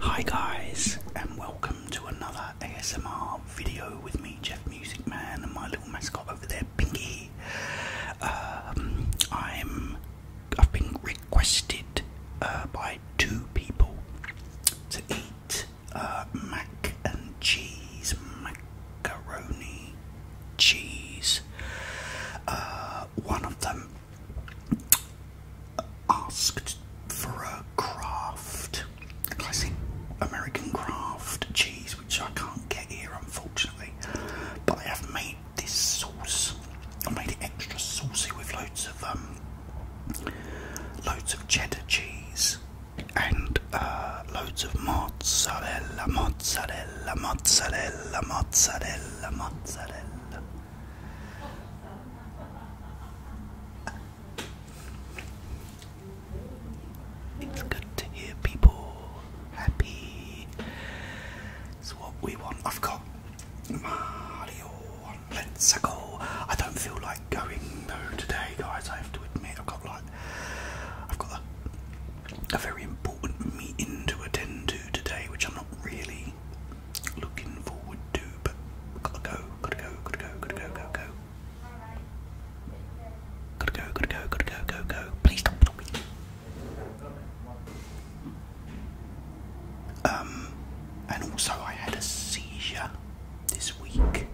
Hi guys and welcome to another ASMR video with me Jeff Music Man and my little mascot over there Pinky. Um, I'm I've been requested uh, by two people to eat uh, mac and cheese, macaroni, cheese. Uh, one of them asked for a craft, classic American craft cheese which I can't get here unfortunately. But I have made this sauce. I made it extra saucy with loads of um, loads of cheddar cheese and uh, loads of mozzarella, mozzarella, mozzarella, mozzarella, mozzarella. It's good to hear people happy. It's what we want. I've got Mario Let's go. I don't feel like going though today, guys. I have to admit, I've got like, I've got a, very important meeting to attend to today, which I'm not really looking forward to. But gotta go, gotta go, gotta go, gotta go, go, go. Gotta go, gotta go, gotta go, go, go. Please stop, stop. Um, and also, I had a seizure this week,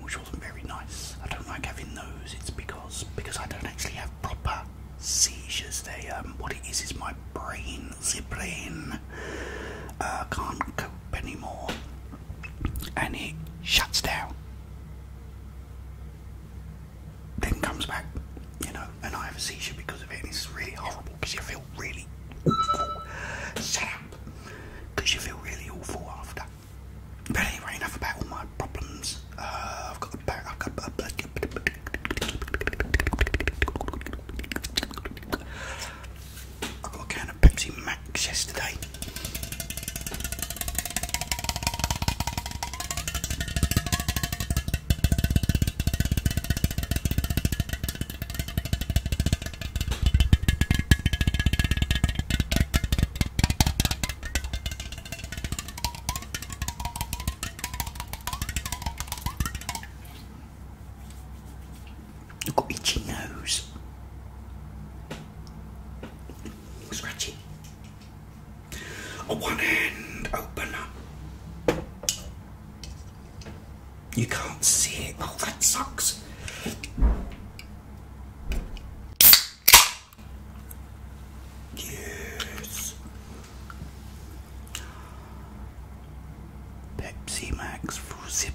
which wasn't very nice. I don't like having those. It's because because I don't actually have proper seizures. They um, what it is is my brain, the brain, uh, can't cope anymore, and it shuts down then comes back, you know, and I have a seizure because of it, and it's really horrible because you feel really awful. Because you feel really awful after. But anyway, enough about all my problems. Uh, I've got a I've got a, I've got a of Pepsi Max yesterday. I've got itchy nose scratchy. A one hand opener. You can't see it. Oh, that sucks. Yes. Pepsi Max for the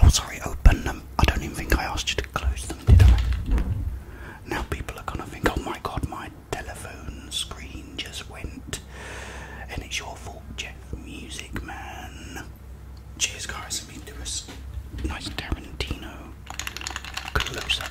Oh, sorry, open them. I don't even think I asked you to close them, did I? Now people are gonna think, oh my god, my telephone screen just went. And it's your fault, Jeff Music Man. Cheers, guys. Let me do a nice Tarantino close up.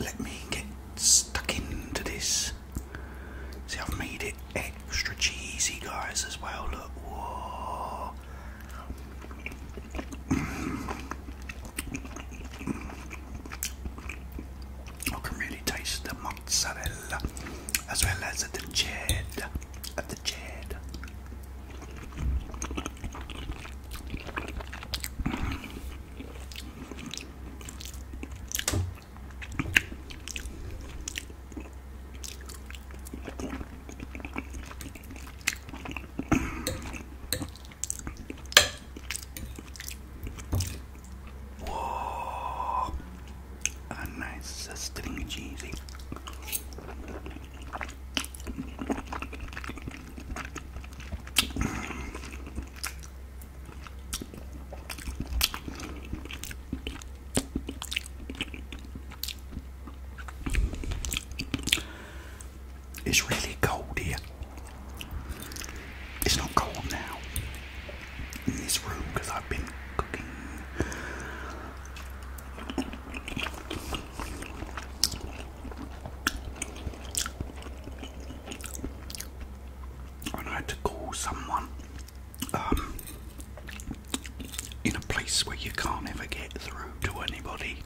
let me get stuck into this. See, I've made it extra cheesy, guys, as well. Look, whoa. I can really taste the mozzarella as well as the cheddar. the cheddar. Whoa, a nice string cheesy. It's really cold here. It's not cold now in this room because I've been cooking. I had to call someone um, in a place where you can't ever get through to anybody.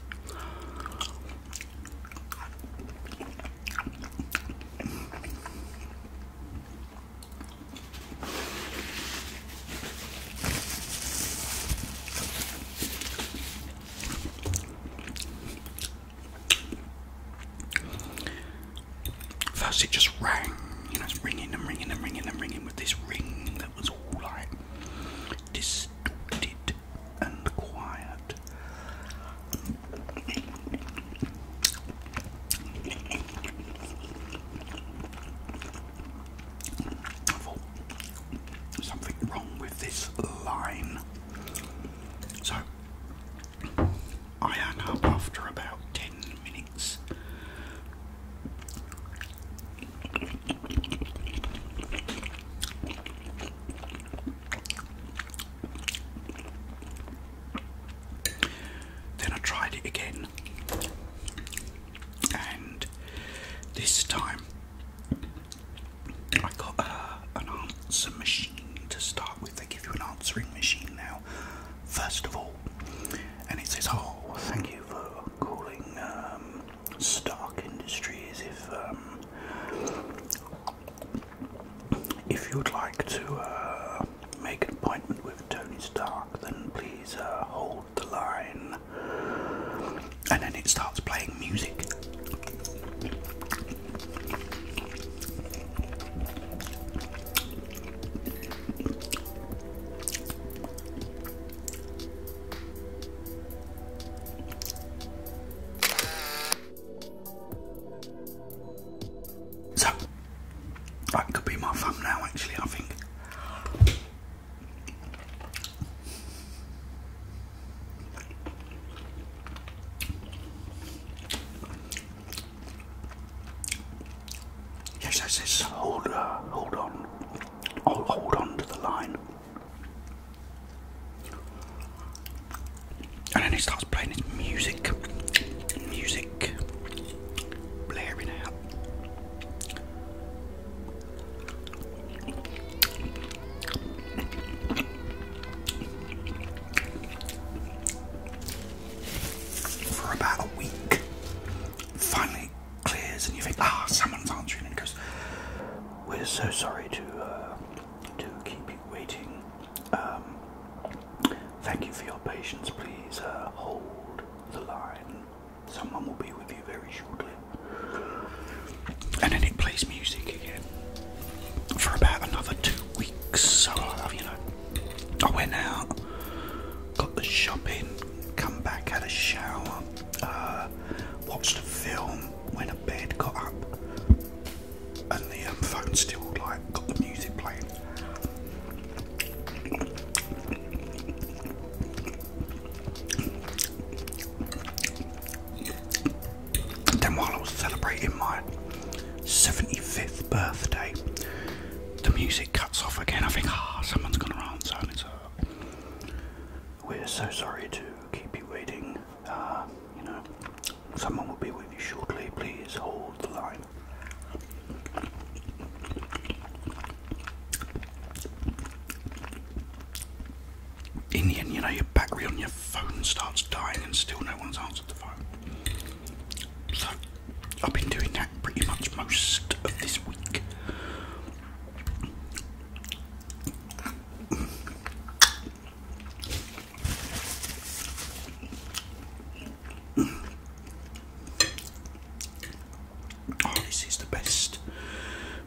First, it just rang, you know, it's ringing and ringing and ringing and ringing with this ring that was all like distorted and quiet something wrong with this line. So I hung up after about 10 minutes. Then I tried it again, and this time I got uh, an answering machine to start with. They give you an answering machine now, first of all, and it says, "Oh, thank you for calling um, Stark Industries. If um, if you'd like to uh, make an appointment with Tony Stark, then please uh, hold the line." and then it starts playing music. So that could be my thumbnail actually I think. Yes, yes, yes. Hold, uh, hold on. I'll hold on to the line. And then he starts playing his music, music blaring out for about a week. Finally clears and you think, ah, someone's answering and goes, we're so sorry to, uh, to keep you waiting. Um, thank you for your patience. Please uh, hold the line. Someone will be with you very shortly. And then it plays music again for about another two weeks. So I, uh, you know, I went out, got the shopping, come back, had a shower, uh, watched a film, When a bed, got up, and the um, phone still like got the music playing. Then, while I was celebrating my 75th birthday, the music cuts off again. I think, ah, someone's gone around, uh, We're so sorry to keep you waiting. Uh, you know, someone will be with you shortly. Please hold the line. Indian, you know, your battery on your phone starts dying and still no one's answered the phone. So, I've been doing that pretty much most of this week. Oh, this is the best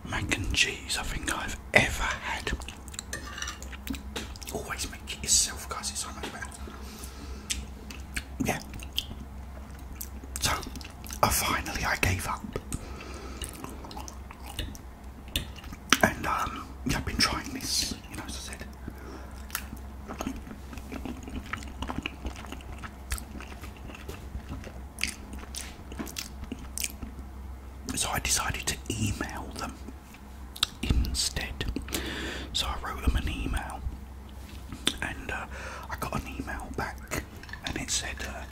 mac and cheese I think I've ever had. Always make it yourself, guys, it's so much better. Yeah. So, uh, finally I gave up. And, um, I've been trying this, you know, as I said. So I decided to email them instead. So I wrote them an email, and uh, I got an email back, and it said, uh,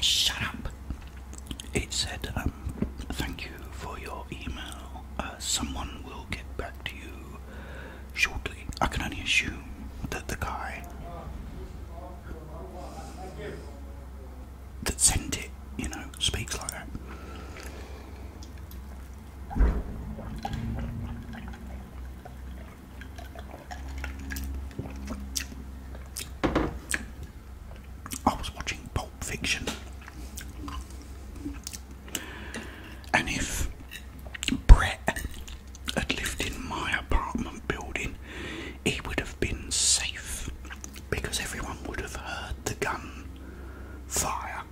"Shut up." It said, um, "Thank you for your email. Uh, someone." Will get back to you shortly. I can only assume that the guy that sent it, you know, speaks like that. I was watching Pulp Fiction and if Brett had lived in my apartment building, he would have been safe because everyone would have heard the gun fire.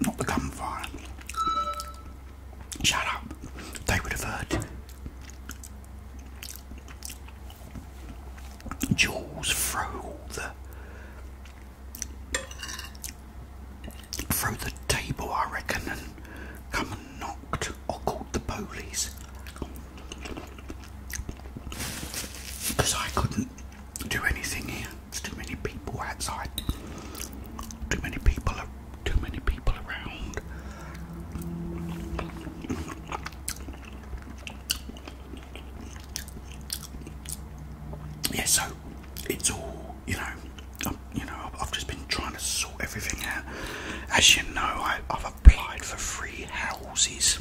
Not the gunfire. Shut up. They would have heard. Jules through the through the table I reckon and come and knocked or called the police because I couldn't do anything here. It's too many people outside. Too many people. Too many people around yeah, so it's all you know. i you know, I've just been trying to sort everything out. As you know, I, have applied for three houses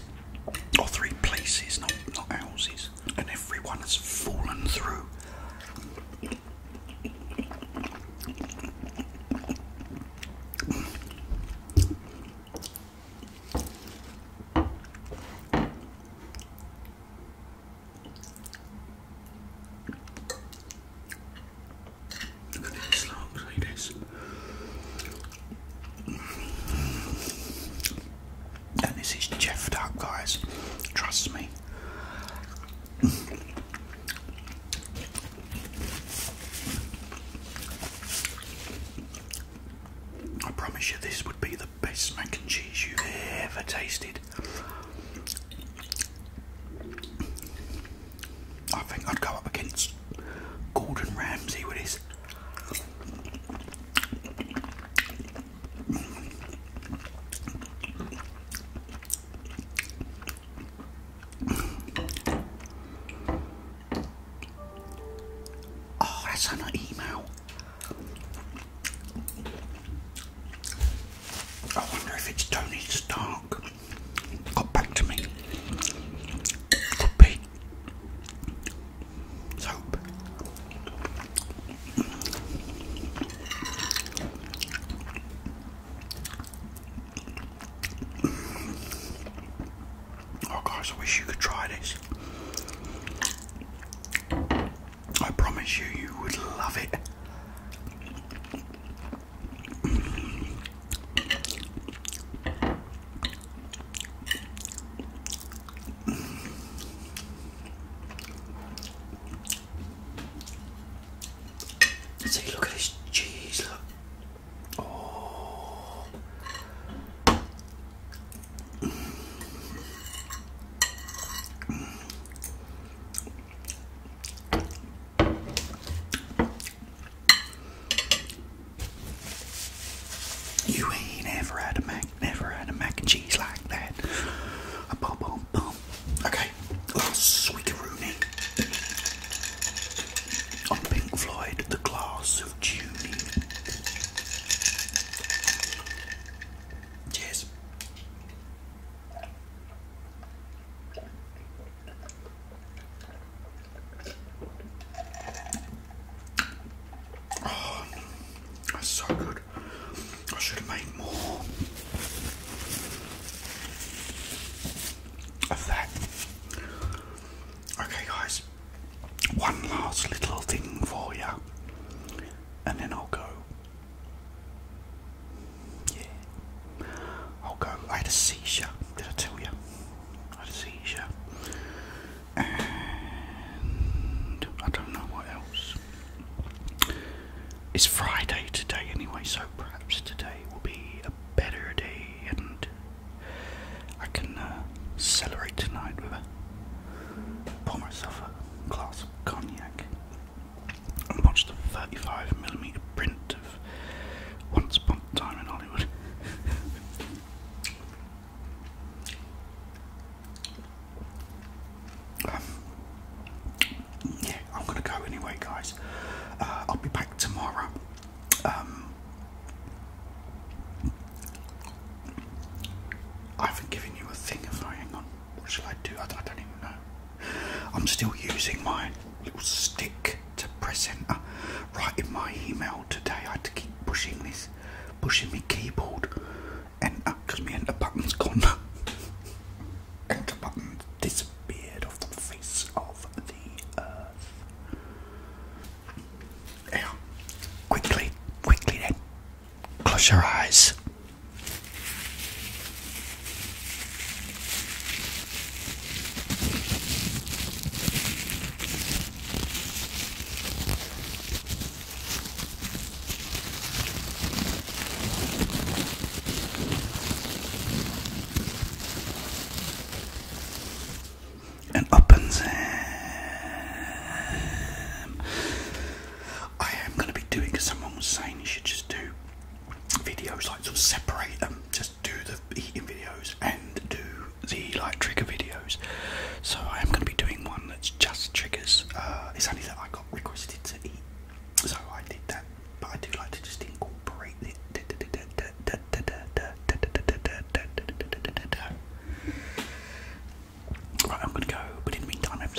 or three places, not houses, and everyone has fallen through. Look at this, look, look at this. And this is Jeff Duck, guys. Trust me. I promise you, this would be the best mac and cheese you've ever tasted. I think I'd go up against Gordon Ramsay with his. Oh, that's an email. I wonder if it's Tony Stark. Got back to me. Could Oh guys, I wish you could try this. I promise you, you would love it. See, look at this cheese, look. Oh. You ain't ever had a mac, never had a mac and cheese like that. Okay. Oh, sweet Swiggy on Pink Floyd, The Glass of Tuning. Cheers. Oh, that's so good. I should have made more of that. Okay, guys, one last little thing for you, and then I'll go. Yeah, I'll go. I had a seizure. Did I tell you? I had a seizure, and I don't know what else. It's Friday today anyway, so perhaps today will be a better day and I can uh, celebrate tonight with a pour myself a glass of cognac and watch the 35 millimeter print of Once Upon a Time in Hollywood yeah, I'm gonna go anyway, guys. Uh, I'll be back tomorrow. Um, I haven't given you a thing, if hang on. What shall I do? I don't even know. I'm still using my little stick to press enter. Right in my email today, I had to keep pushing this, pushing my keyboard enter because my enter button's gone. enter button disappeared off the face of the earth. Yeah. Quickly, quickly then. Close your eyes. And up and him. I am going to be doing, because someone was saying you should just do videos like sort of separate them, just do the eating videos and do the like trigger videos. So I am going to be doing one that's just triggers. Uh, it's only that I got requested to eat so I did that, but I do like to just incorporate it. Right, I'm gonna go, but in the meantime,